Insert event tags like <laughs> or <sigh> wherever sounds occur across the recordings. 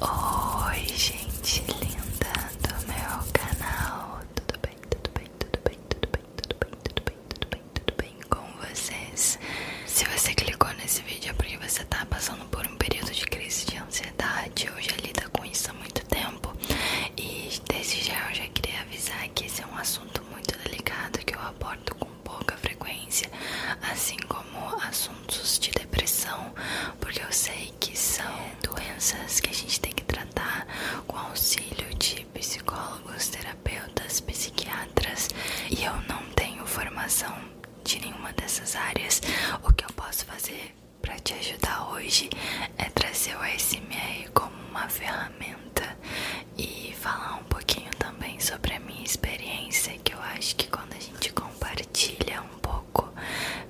Oi gente linda do meu canal, tudo bem, tudo bem, tudo bem, tudo bem, tudo bem, tudo bem, tudo bem, tudo bem com vocês? Se você clicou nesse vídeo é porque você tá passando por um período de crise de ansiedade ou já lida com isso há muito tempo E desde já eu já queria avisar que esse é um assunto muito delicado que eu abordo com pouca frequência Assim como assunto assuntos de depressão, porque eu sei que são doenças que a gente tem que tratar com auxílio de psicólogos, terapeutas, psiquiatras, e eu não tenho formação de nenhuma dessas áreas. O que eu posso fazer para te ajudar hoje é trazer o ASMR como uma ferramenta e falar um pouquinho também sobre a minha experiência, que eu acho que quando a gente compartilha um pouco,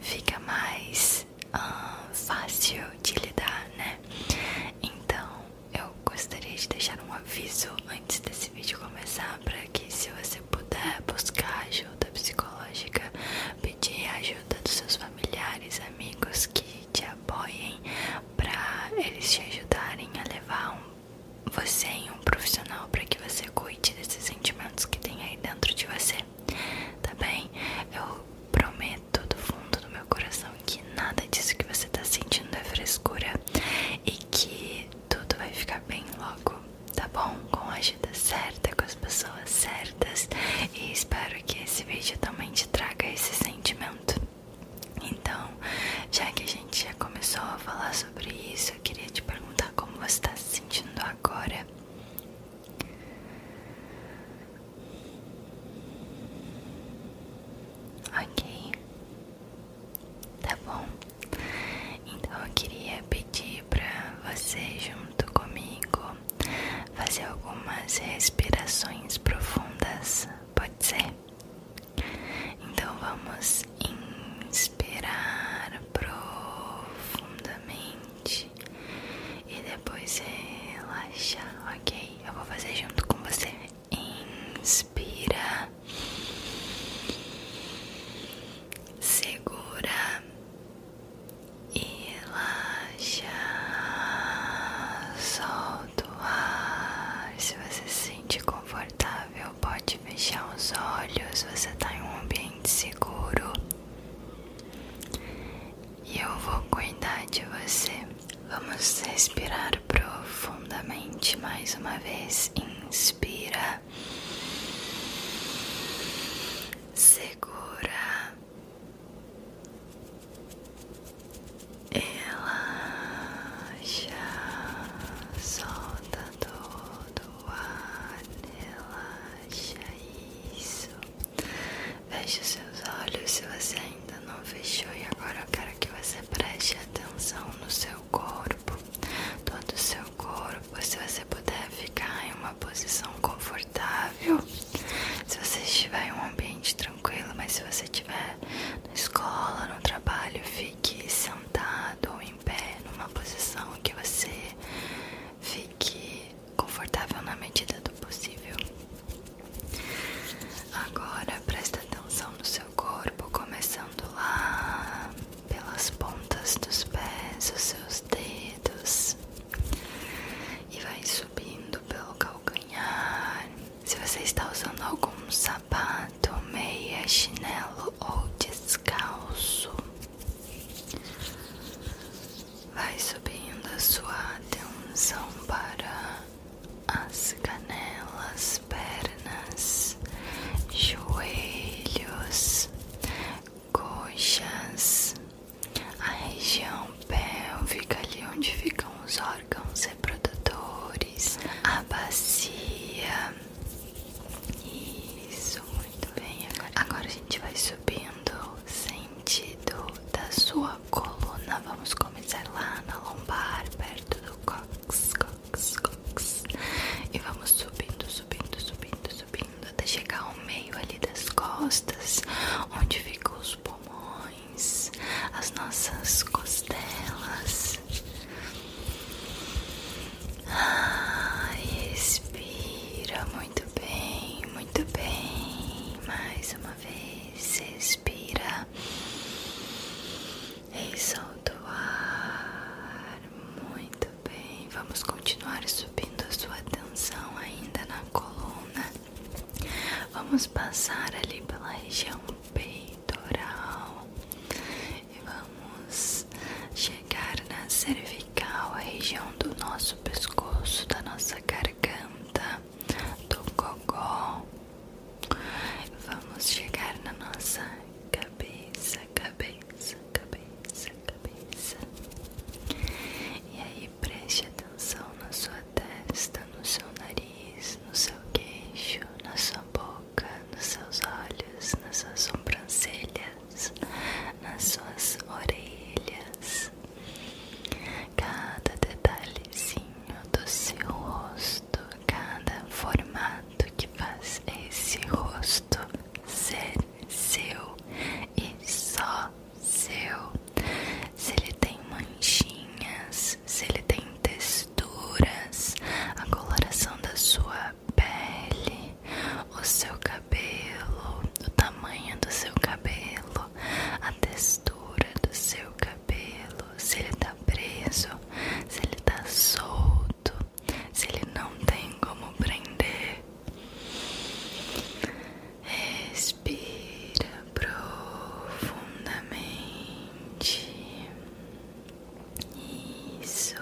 fica mais fácil de lidar, né? Então eu gostaria de deixar um aviso antes desse vídeo começar para que se você puder buscar ajuda psicológica, pedir ajuda dos seus familiares, amigos que te apoiem para eles te ajudarem a levar um você em um profissional para que você cuide desses sentimentos que tem aí dentro de você, tá bem? Eu prometo do fundo do meu coração que nada disso que você tá sentindo é frescura e que tudo vai ficar bem logo, tá bom? Com a ajuda certa, com as pessoas certas e espero que esse vídeo também te traga esse sentimento. Então, já que a gente já começou a falar sobre isso, eu queria te perguntar como você está se sentindo agora. Ok, tá bom. Então eu queria pedir para você junto comigo fazer algumas respirações profundas, pode ser? Então vamos inspirar profundamente e depois relaxa. ok? Eu vou fazer junto com você. Inspira, segura e relaxa. Solta o ar se você se sente confortável confortável, pode fechar os olhos, você está em um ambiente seguro e eu vou cuidar de você. Vamos respirar profundamente mais uma vez. Inspira, segura Relaxa, solta todo o ar, relaxa isso. Feche os seus olhos se você ainda não fechou e agora eu quero que você preste atenção no seu corpo, todo o seu corpo, se você puder ficar em uma posição confortável. Se você estiver em um ambiente tranquilo, mas se você estiver na escola, no trabalho, fica fique sentado ou em pé numa posição que você fique confortável na medida do possível. Agora presta atenção no seu corpo, começando lá pelas pontas dos pés, os seus dedos, e vai subindo pelo calcanhar, se você está usando algum sapato, meia, chinelo ou descalço, vai subindo a sua atenção para as canelas, pernas, joelhos, coxas, a região pélvica ali onde ficam os olhos órgãos reprodutores, a bacia. Isso, muito bem. Agora, a gente vai subindo sentido da sua coluna. Vamos começar lá na lombar, perto do cox, cox, cox. E vamos subindo, subindo, subindo, subindo até chegar ao meio ali das costas, onde ficam os pulmões as nossas costelas. Ah, expira muito bem, muito bem. Mais uma vez, expira e solta o ar. Muito bem, vamos continuar subindo a sua atenção ainda na coluna. Vamos passar ali pela região peitoral e vamos chegar na cervical, a região do nosso pescoço, da nossa garganta, do gogó. Vamos chegar na nossa cabeça, cabeça, cabeça, cabeça. E aí preste atenção na sua sua testa, no seu nariz, no seu queixo, na sua boca, nos seus olhos, nas suas sobrancelhas, nas suas orelhas. Cada detalhezinho do seu rosto, cada formato que faz esse rosto ser seu e só seu. Se ele tem manchinhas, se ele tem texturas, a coloração da sua pele, o seu cabelo, o tamanho do seu cabelo, a textura do seu cabelo, se ele tá preso, se ele tá solto, se ele não tem como prender. Respira profundamente. Isso.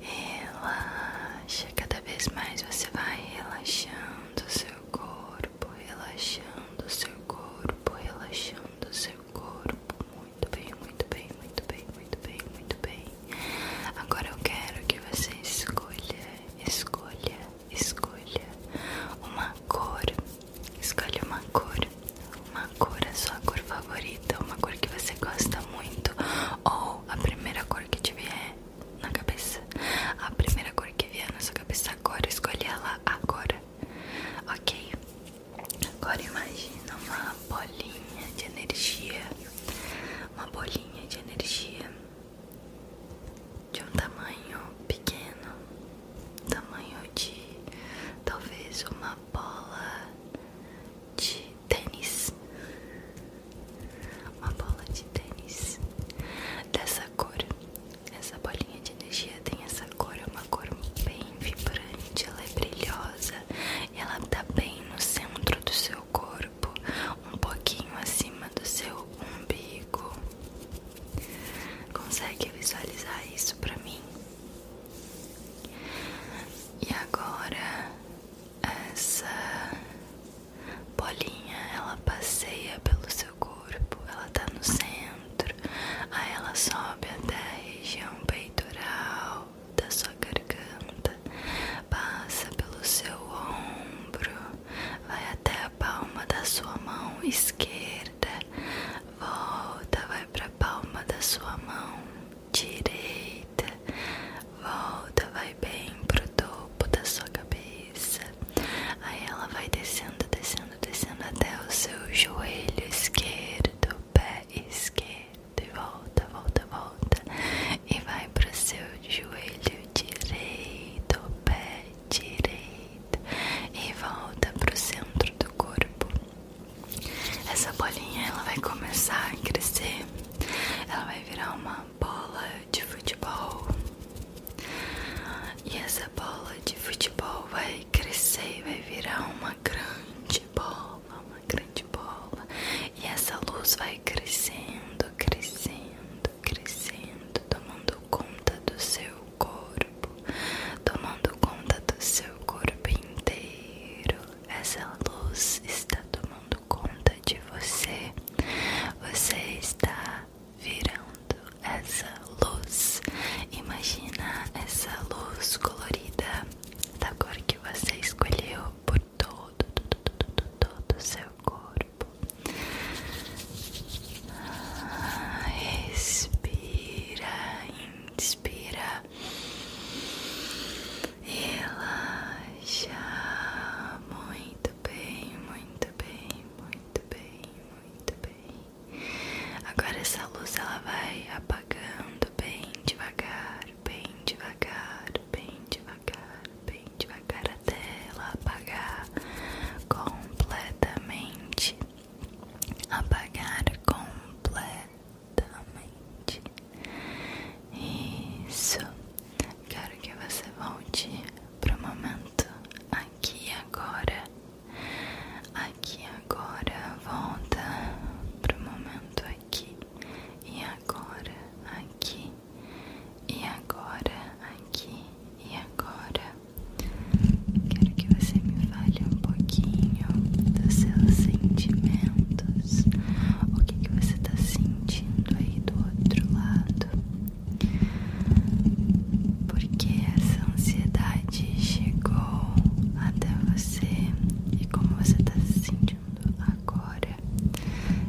Relaxa. Cada vez mais você vai relaxando seu corpo, relaxando seu corpo, relaxando seu corpo. Muito bem, muito bem, muito bem, muito bem, muito bem. Agora eu quero que você escolha, escolha, escolha uma cor, escolha uma cor, uma cor, a sua cor favorita, uma cor que você gosta muito, ou a primeira cor que te vier na cabeça, a primeira cor que vier na sua cabeça agora, escolha ela agora, ok? Agora imagina uma bolinha de energia, uma bolinha de energia de um tamanho pequeno, tamanho de talvez uma bola de tênis, uma bola de tênis dessa cor. Essa bolinha de energia tem essa cor, é uma cor bem vibrante, ela é brilhosa ela tá bem no centro do seu corpo, um pouquinho acima do seu umbigo. Consegue visualizar isso para mim? E agora essa bolinha, ela passeia pelo seu corpo, ela tá no centro, aí ela sobe até a região peitoral da sua garganta, passa pelo seu ombro, vai até palma da sua mão esquerda, volta, vai para a palma da sua mão direita, volta, vai bem pro topo da sua cabeça. Aí ela vai descendo, descendo, descendo até o seu joelho esquerdo, pé esquerdo, e volta, volta, volta e vai pro seu joelho direito, pé direito e volta para o centro do corpo. Essa bolinha ela vai começar a crescer, ela vai virar uma bola de futebol. E essa bola de futebol vai crescer vai virar uma grande bola, uma grande bola. E essa luz vai crescendo, crescendo, crescendo, tomando conta do seu corpo, tomando conta do seu corpo inteiro. Essa luz está tomando conta de você. Você está virando essa luz. Imagina essa luz colorida da cor que você escolheu por todo, todo, todo, todo, todo seu corpo. Expira, Respira, inspira, relaxa. Muito bem, muito bem, muito bem, muito bem. Agora essa luz ela vai apagando bem devagar, bem devagar, bem devagar devagar, bem devagar até ela apagar completamente. Apagar completamente. Isso. Quero que você volte pro momento aqui agora. Aqui agora volta pro momento aqui e agora aqui e agora, aqui e agora. Quero que você me fale um pouquinho dos seus sentimentos. O que, que você está sentindo aí do outro lado? Porque essa ansiedade chegou até você e como você está se sentindo? agora,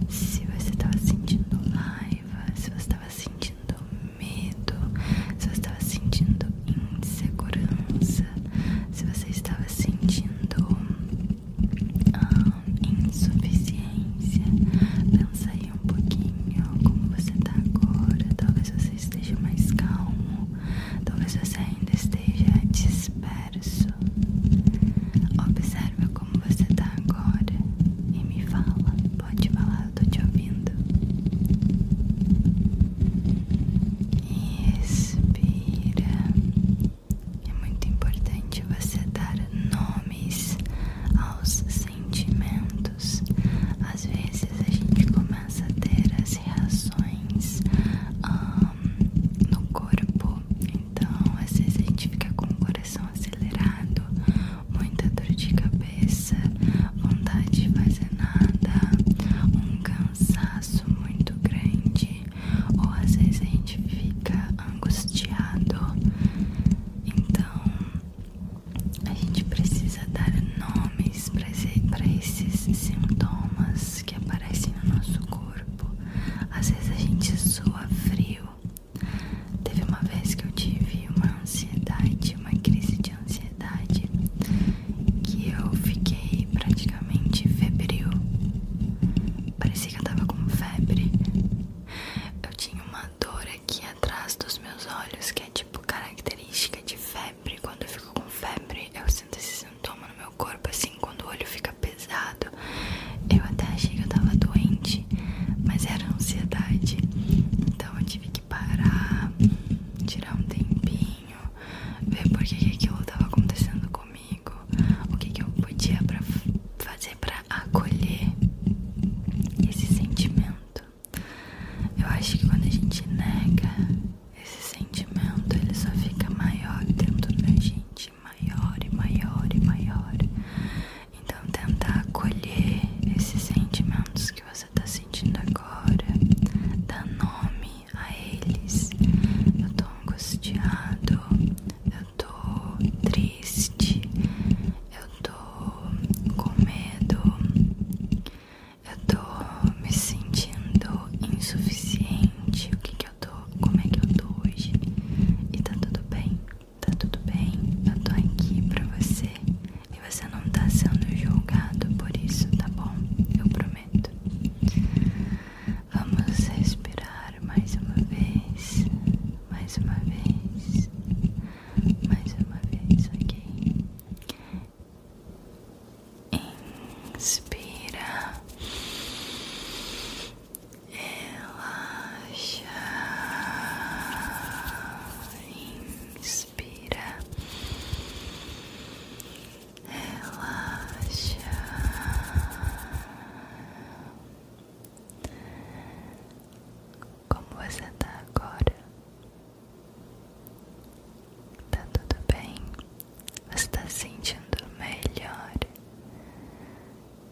se você estava sentindo raiva, se você estava sentindo medo, se você estava sentindo insegurança, se você estava sentindo ah, insuficiência, pensa aí um pouquinho como você está agora. Talvez você esteja mais calmo, talvez você ainda esteja desperto. Observa como você está agora e me fala. Pode falar, eu tô te ouvindo. respira É muito importante você dar nomes aos sentimentos. Às vezes a gente começa a ter as reações no corpo então, às vezes a gente fica com o coração acelerado, muita dor de cabeça, vontade de fazer nada, um cansaço muito grande, ou às vezes a gente fica angustiado. Então, a gente precisa dar nomes para esses sintomas que aparecem no nosso corpo. Às vezes a gente soa frio. Teve uma vez que eu tive uma ansiedade, uma crise de ansiedade, que eu fiquei praticamente febril. Parecia que eu tava com febre. Eu tinha uma dor aqui atrás dos meus olhos, que é tipo característica de febre. Quando eu fico com febre, eu sinto esses toma no meu corpo, assim, quando o olho fica pesado. Eu até achei que eu tava doente, mas era ansiedade. Então eu tive que parar, tirar um tempinho, ver por que aquilo tava acontecendo comigo, o que, que eu podia pra fazer pra acolher esse sentimento. Eu acho que quando a gente nega esse sentimento, ele só fica maior dentro da gente maior e maior e maior. Então, tentar acolher esses sentimentos que você tá sentindo agora, dá nome a eles. Eu tô angustiado, eu tô triste, eu tô com medo, eu tô me sentindo insuficiente como é que eu tô hoje. E tá tudo bem, tá tudo bem. Eu tô aqui pra você e você não tá sendo julgado por isso, tá bom? Eu prometo. Vamos respirar mais uma vez, mais uma vez, mais uma vez, ok? inspira, relaxa, inspira, relaxa. Como você tá agora? Tá tudo bem? Você está se sentindo melhor?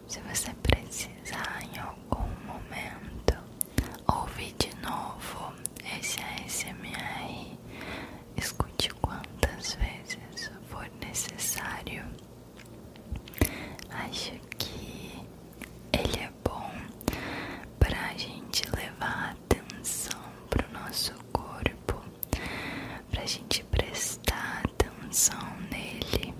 Se você precisar em algum momento ouvir de novo esse ASMR, escute quantas vezes for necessário. Acho que ele é bom para a gente levar atenção para o nosso corpo pra gente prestar atenção nele,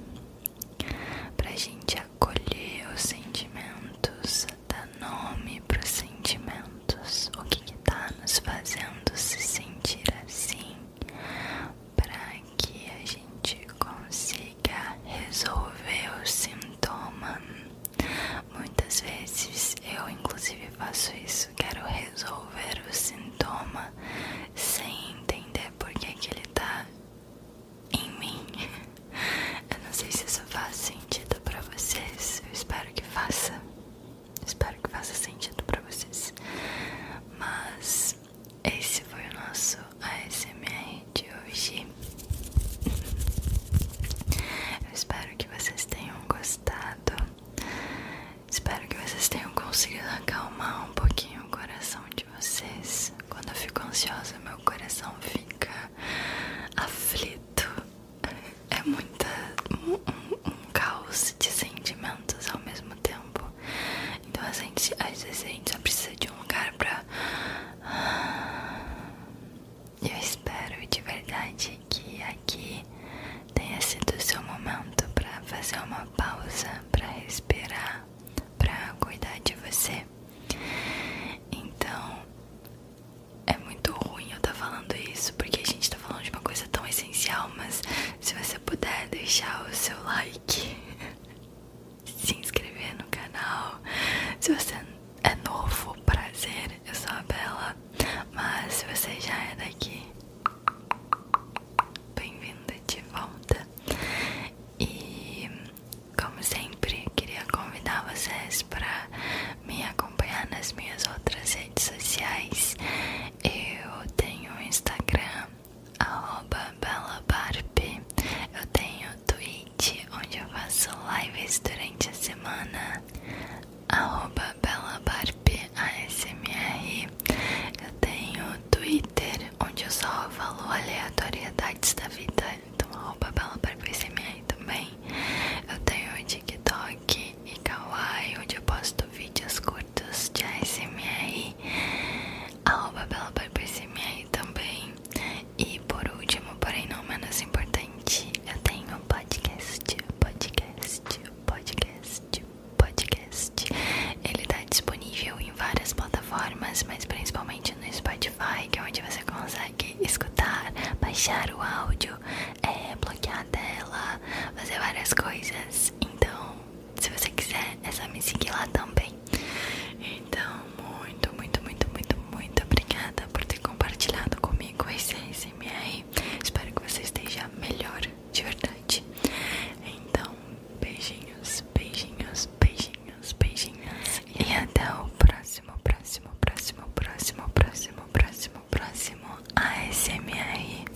pra gente acolher os sentimentos, dar nome para os sentimentos, o que, está nos fazendo se sentir assim, para que a gente consiga resolver o sintoma. Muitas vezes eu, inclusive, faço isso quero resolver o sintoma sem entender por que, que ele tá em mim. <laughs> Eu não sei se isso faz sentido para vocês, eu espero que faça. Espero que faça sentido para vocês. Mas esse foi o nosso ASMR de hoje. <laughs> Eu espero que vocês tenham gostado. Espero que vocês tenham conseguido acalmar um pouquinho o coração de vocês. Quando eu fico ansiosa, meu coração fica aflito. É muita, um, caos de sentimentos ao mesmo tempo. Então a gente, às vezes a gente só precisa de um lugar pra e eu espero de verdade que aqui tenha sido o seu momento para fazer uma pausa, para respirar, para cuidar de você. Então, é muito ruim eu estar tá falando isso, porque a gente está falando de uma coisa tão essencial, mas se você puder deixar o seu like, <laughs> se inscrever no canal, se você é novo, prazer, eu sou a Bela, mas se você já é daqui, bem-vinda de volta. E como sempre, queria convidar vocês para me acompanhar nas minhas outras redes sociais. Eu tenho o Instagram, arroba eu tenho Twitter, onde eu faço lives durante a semana arroba belabarpasmr. Eu tenho Twitter, onde eu só falo aleatoriedades da vida, então arroba belabarpasmr também. Eu tenho TikTok e Kawaii, onde eu posto vídeos curtos de ASMR, arroba belabarpasmr também. E por último, porém não menos importante, eu tenho um podcast, podcast, podcast, podcast. Ele está disponível em várias plataformas, mas principalmente no Spotify, que é onde você consegue escutar, baixar o áudio, é, bloquear a tela, fazer várias coisas. Então, se você quiser, é só me seguir lá também. Então, muito, muito, muito, muito, muito obrigada por ter compartilhado comigo esse ASMR. Espero que você esteja melhor, de verdade. Então, beijinhos, beijinhos, beijinhos, beijinhos. E até o próximo, próximo, próximo, próximo, próximo, próximo, próximo ASMR.